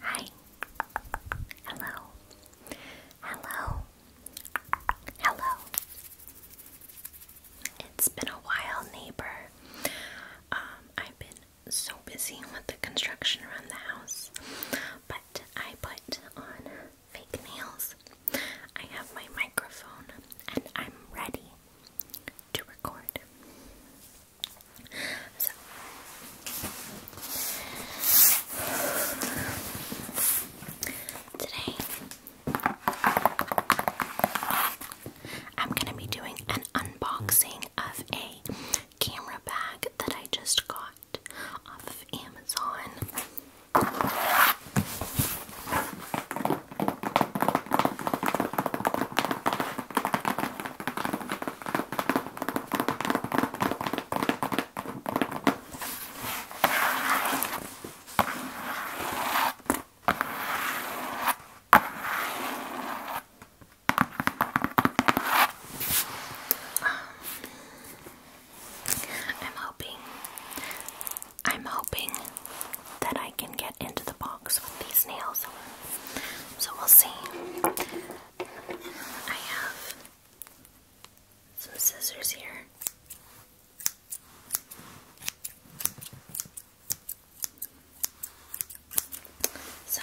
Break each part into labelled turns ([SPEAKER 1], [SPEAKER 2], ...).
[SPEAKER 1] Hi. Hello. Hello. Hello. It's been a while, neighbor. Um, I've been so busy with the construction around the house, but I put on fake nails. I have my microphone and I'm ready to record. So, today I'm going to be doing an unboxing of a camera bag that I just got off of Amazon. Um, I'm hoping I'm hoping that I can get into the box with these nails. So we'll see. I have some scissors here. So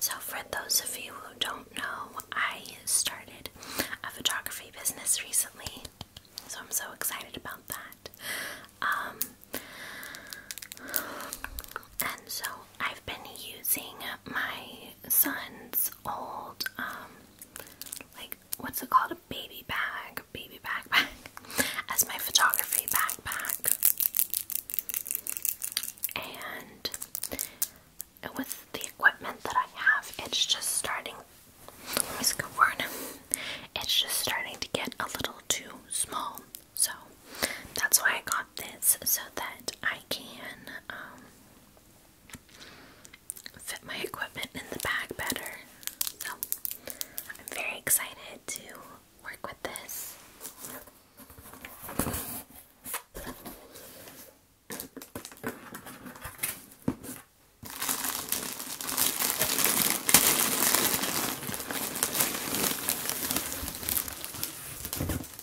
[SPEAKER 1] So, for those of you who don't know, I started a photography business recently, so I'm so excited about that. Um, and so, I've been using my son's old um, like what's it called? A baby bag, baby backpack, as my photography backpack. And with the equipment that I have, it's just starting. Let me skip word. It's just starting to get a little too small, so that's why I got this so that I can um, fit my equipment in the bag better. So I'm very excited to work with this.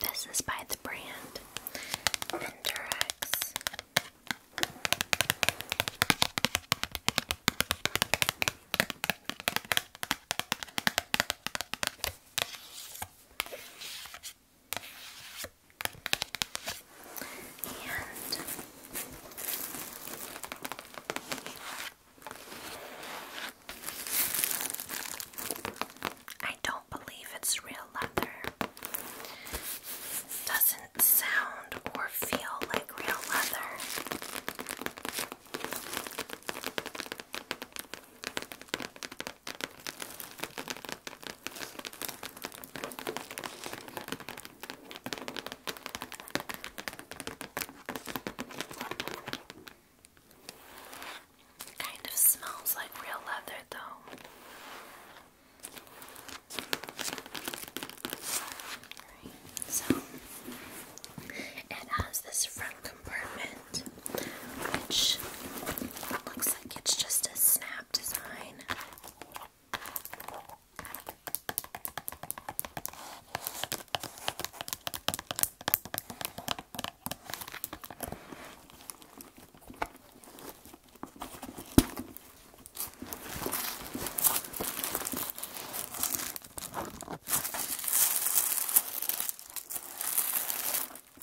[SPEAKER 1] This is by the brand Endurex. And I don't believe it's real leather. doesn't sound or feel like real leather. Kind of smells like real leather, though. so it has this front compartment which looks like it's just a snap design. They wrote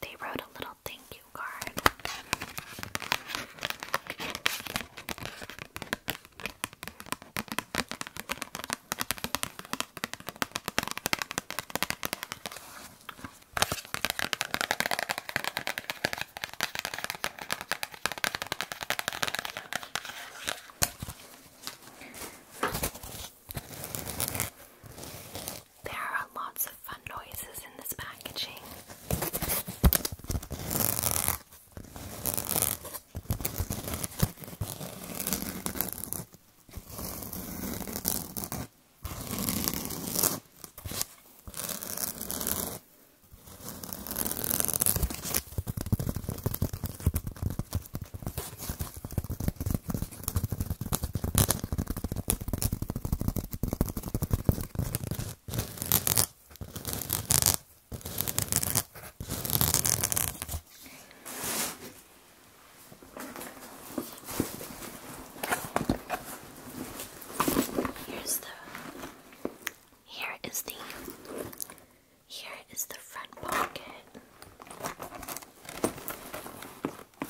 [SPEAKER 1] they wrote a little Oh, thank you card. There are lots of fun noises in this packaging. Here's the here is the here is the front pocket. And it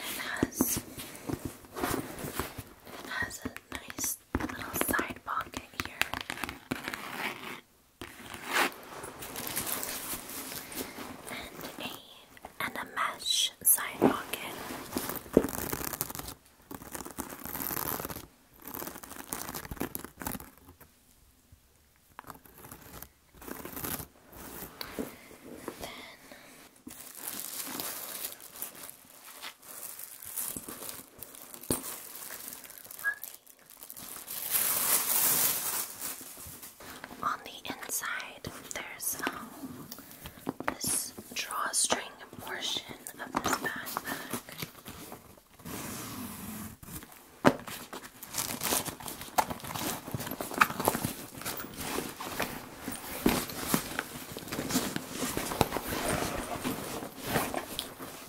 [SPEAKER 1] has it has a nice little side pocket here and a and a mesh side pocket. On the inside, there's um, this drawstring portion of this backpack inside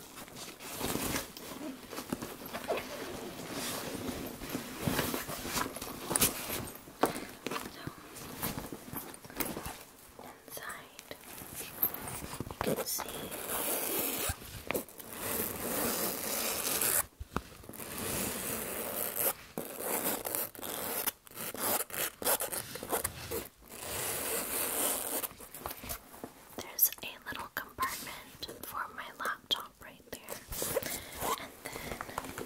[SPEAKER 1] you can see there's a little compartment for my laptop right there. And then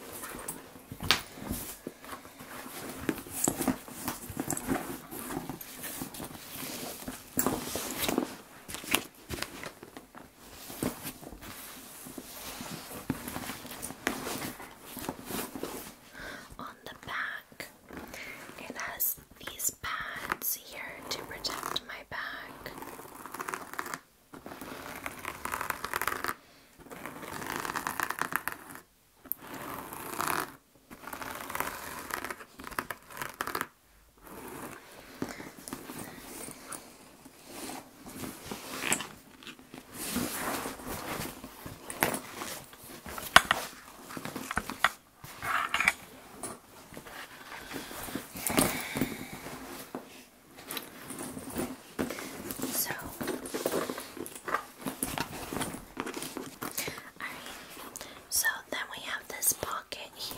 [SPEAKER 1] on the back, it has these pads here to protect my back. So, alright, so then we have this pocket here.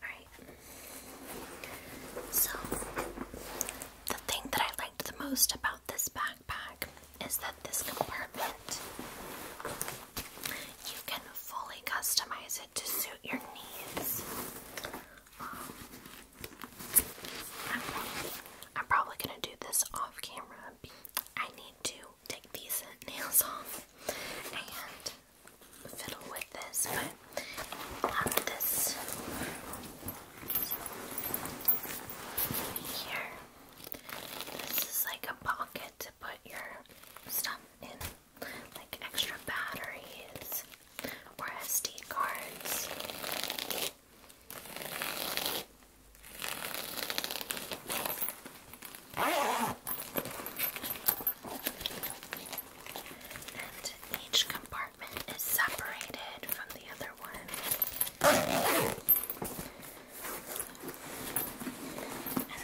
[SPEAKER 1] Alright. So, the thing that I liked the most about this backpack is that this compartment you can fully customize it to suit your needs. Um, I'm probably gonna do this off camera. I need to take these nails off and fiddle with this, but this here, this is like a pocket to put your stuff in, like extra batteries or SD cards. And each compartment is separated from the other one. And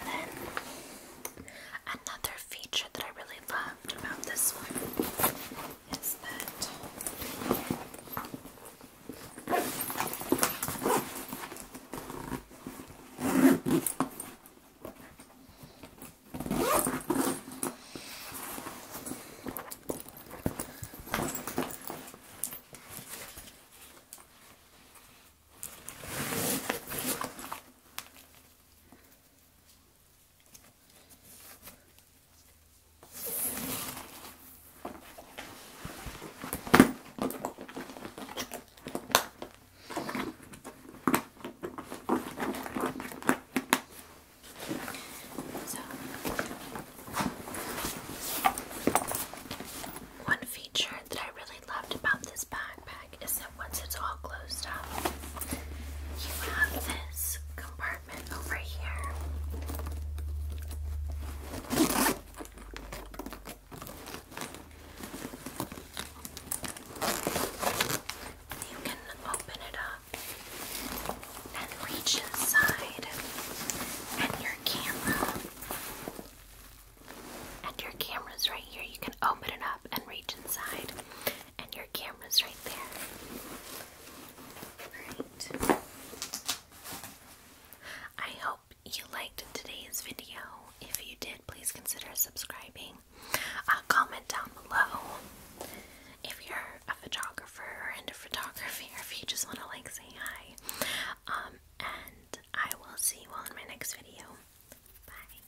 [SPEAKER 1] then another feature that I really loved about this one is that one feature that I really loved about this backpack is that once it's all closed up, you have this compartment over here. You can open it up and reach inside, and your camera. And your camera's right here. You can open it up and reach inside, and your camera's right there. Alright. I hope you liked today's video. If you did, please consider subscribing. Uh, comment down below if you're a photographer or into photography or if you just want to like say hi. Um, and I will see you all in my next video. Bye.